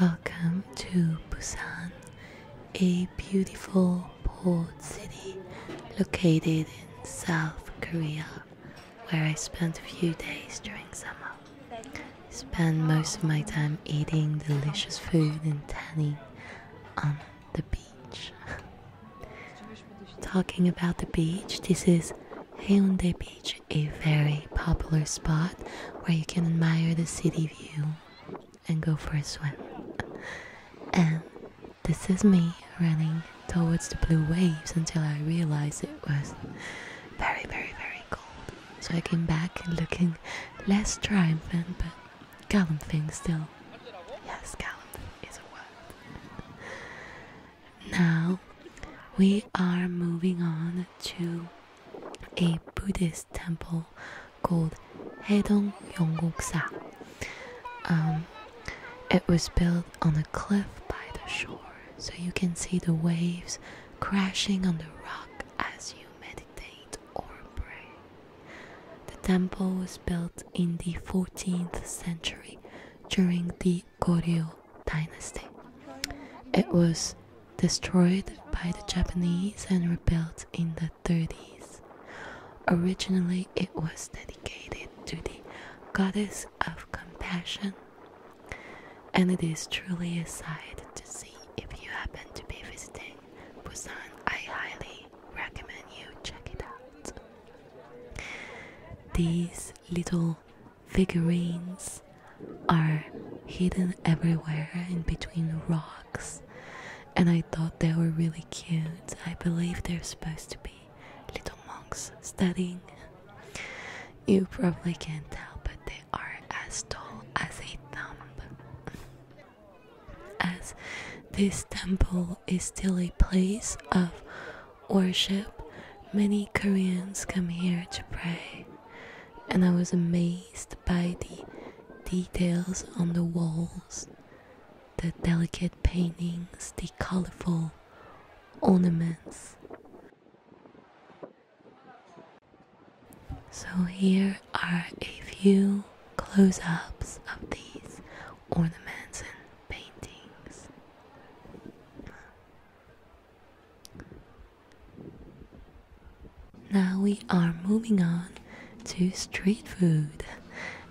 Welcome to Busan, a beautiful port city located in South Korea, where I spent a few days during summer. I spend most of my time eating delicious food and tanning on the beach. Talking about the beach, this is Haeundae Beach a very popular spot where you can admire the city view and go for a swim. And this is me running towards the blue waves until I realized it was very, very, very cold. So I came back looking less triumphant but gallant thing still. Yes, gallant is a word. Now we are moving on to a Buddhist temple called Hedong Yongguksa. Um, it was built on a cliff by the shore, so you can see the waves crashing on the rock as you meditate or pray. The temple was built in the 14th century during the Goryeo dynasty. It was destroyed by the Japanese and rebuilt in the 30s. Originally, it was dedicated to the goddess of compassion, and it is truly a sight to see if you happen to be visiting Busan. I highly recommend you check it out. These little figurines are hidden everywhere in between rocks, and I thought they were really cute. I believe they're supposed to be little monks studying. You probably can't tell, but they are as tall as a thumb. As this temple is still a place of worship, many Koreans come here to pray, and I was amazed by the details on the walls, the delicate paintings, the colorful ornaments. So, here are a few close ups of these ornaments and paintings. Now we are moving on to street food,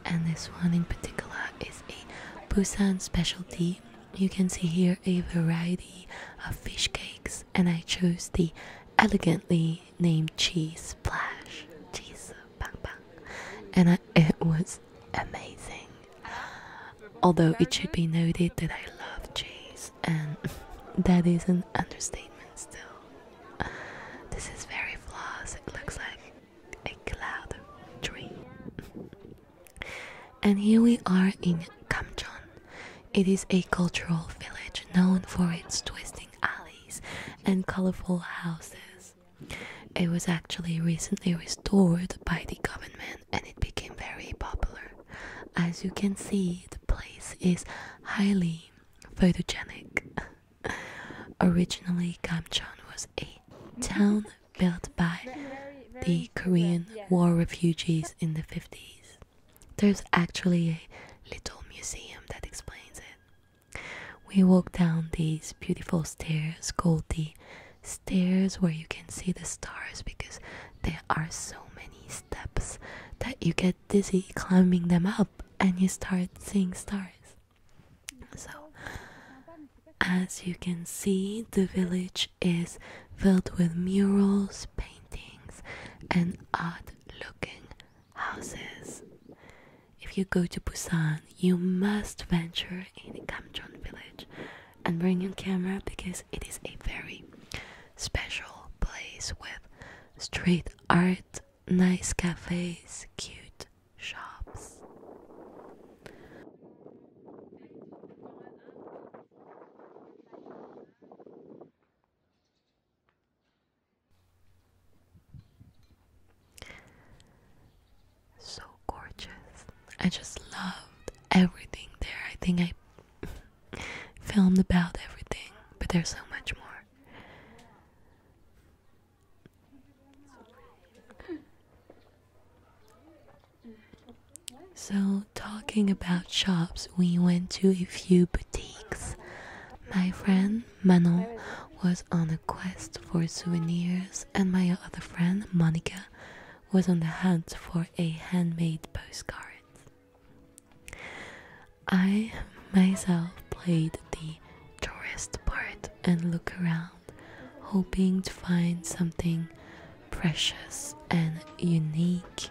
and this one in particular is a Busan specialty. You can see here a variety of fish cakes, and I chose the elegantly named cheese splash. Cheese and it was amazing. Although it should be noted that I love cheese, and that is an understatement still. This is very flawless, it looks like a cloud tree. and here we are in Kamchon. It is a cultural village known for its twisting alleys and colorful houses. It was actually recently restored by the government and it became very popular. As you can see, the place is highly photogenic. Originally, Kamchan was a town built by the Korean War refugees in the 50s. There's actually a little museum that explains it. We walk down these beautiful stairs called the stairs where you can see the stars because there are so many steps that you get dizzy climbing them up and you start seeing stars. So, as you can see, the village is filled with murals, paintings, and odd looking houses. If you go to Busan, you must venture in Gamcheon village and bring your camera because it is a very special place with street art, nice cafes, cute shops. So gorgeous. I just loved everything there. I think I filmed about everything, but there's so much more. So, talking about shops, we went to a few boutiques my friend Manon was on a quest for souvenirs, and my other friend Monica was on the hunt for a handmade postcard. I myself played the tourist part and looked around, hoping to find something precious and unique.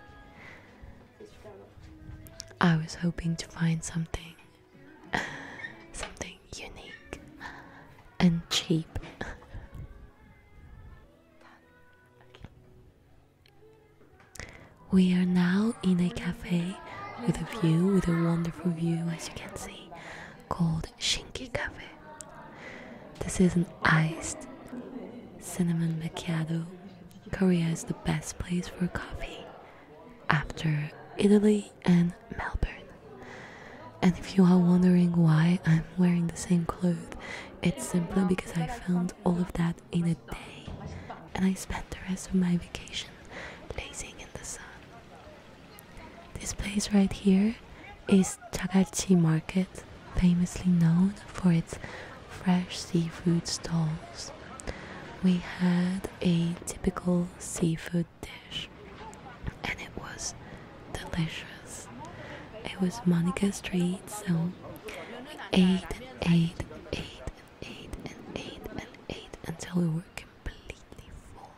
I was hoping to find something, something unique and cheap. We are now in a cafe with a view, with a wonderful view, as you can see, called Shinki Cafe. This is an iced cinnamon macchiato Korea is the best place for coffee after Italy and Melbourne. And if you are wondering why I'm wearing the same clothes, it's simply because I found all of that in a day and I spent the rest of my vacation lazing in the sun. This place right here is is Chagachi Market, famously known for its fresh seafood stalls. We had a typical seafood dish, and it was delicious. It was Monica Street, so we ate and ate and ate and ate and ate and ate until we were completely full.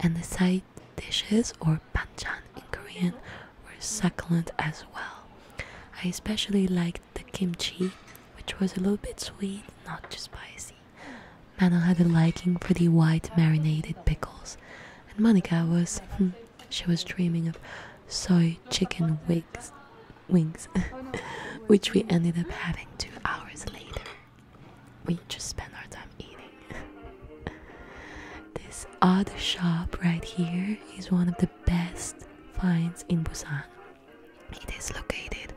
And the side dishes or or in Korean, were succulent as well. I especially liked the kimchi, which was a little bit sweet, not too spicy. Mano had a liking for the white marinated pickles, and Monica was hmm, she was dreaming of soy chicken wigs, wings, which we ended up having two hours later. We just spent our time this other shop right here is one of the best finds in Busan. It is located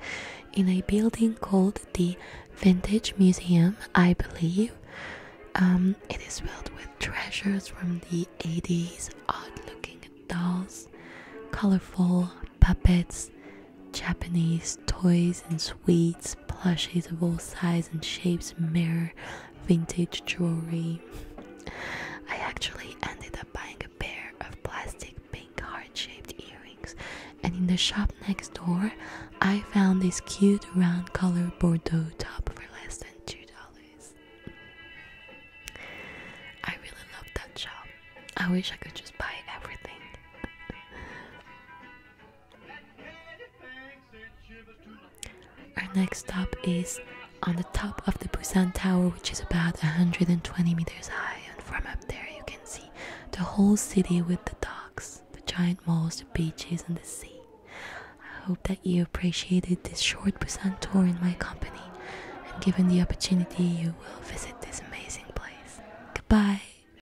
in a building called the Vintage Museum, I believe. Um, it is filled with treasures from the 80s, odd looking dolls, colorful puppets, Japanese toys, and sweets plushies of all sizes and shapes mirror vintage jewelry. I actually ended up buying a pair of plastic pink heart shaped earrings, and in the shop next door, I found this cute round colored Bordeaux top for less than $2. I really love that shop. I wish I could just buy everything. Our next stop is on the top of the Busan Tower, which is about 120 meters high, and from up there you can see the whole city with the docks, the giant malls, the beaches, and the sea. I hope that you appreciated this short Busan tour in my company, and given the opportunity, you will visit this amazing place. Goodbye!